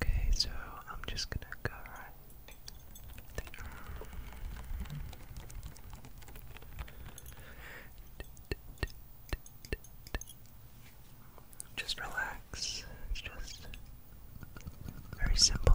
Okay, so I'm just gonna go right Just relax. just very simple.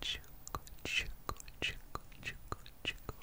Chuckle, chuckle, chuckle, chuckle, chuckle. Chuckle,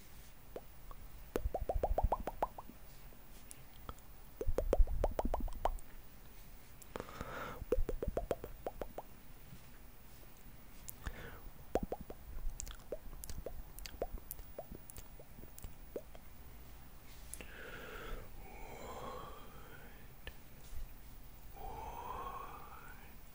Wood. Wood.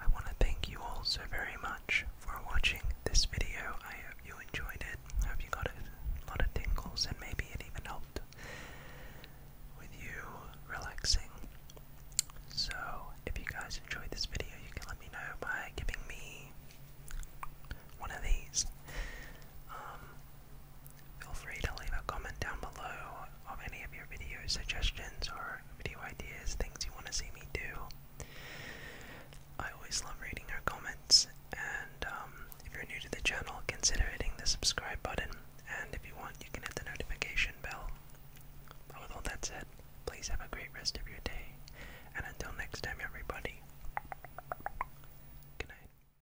I want to thank you all so very much for watching this video. I hope you enjoyed it. Have you got a lot of tingles and maybe it even helped with you relaxing. So, if you guys enjoyed this video, you can let me know by giving me one of these. Um, Feel free to leave a comment down below of any of your video suggestions or video ideas, things you want to see me do. I always love reading your comments, and um, if you're new to the channel, consider hitting the subscribe button, and if you want, you can hit the notification bell. with all that said, please have a great rest of your day, and until next time, everybody, good night.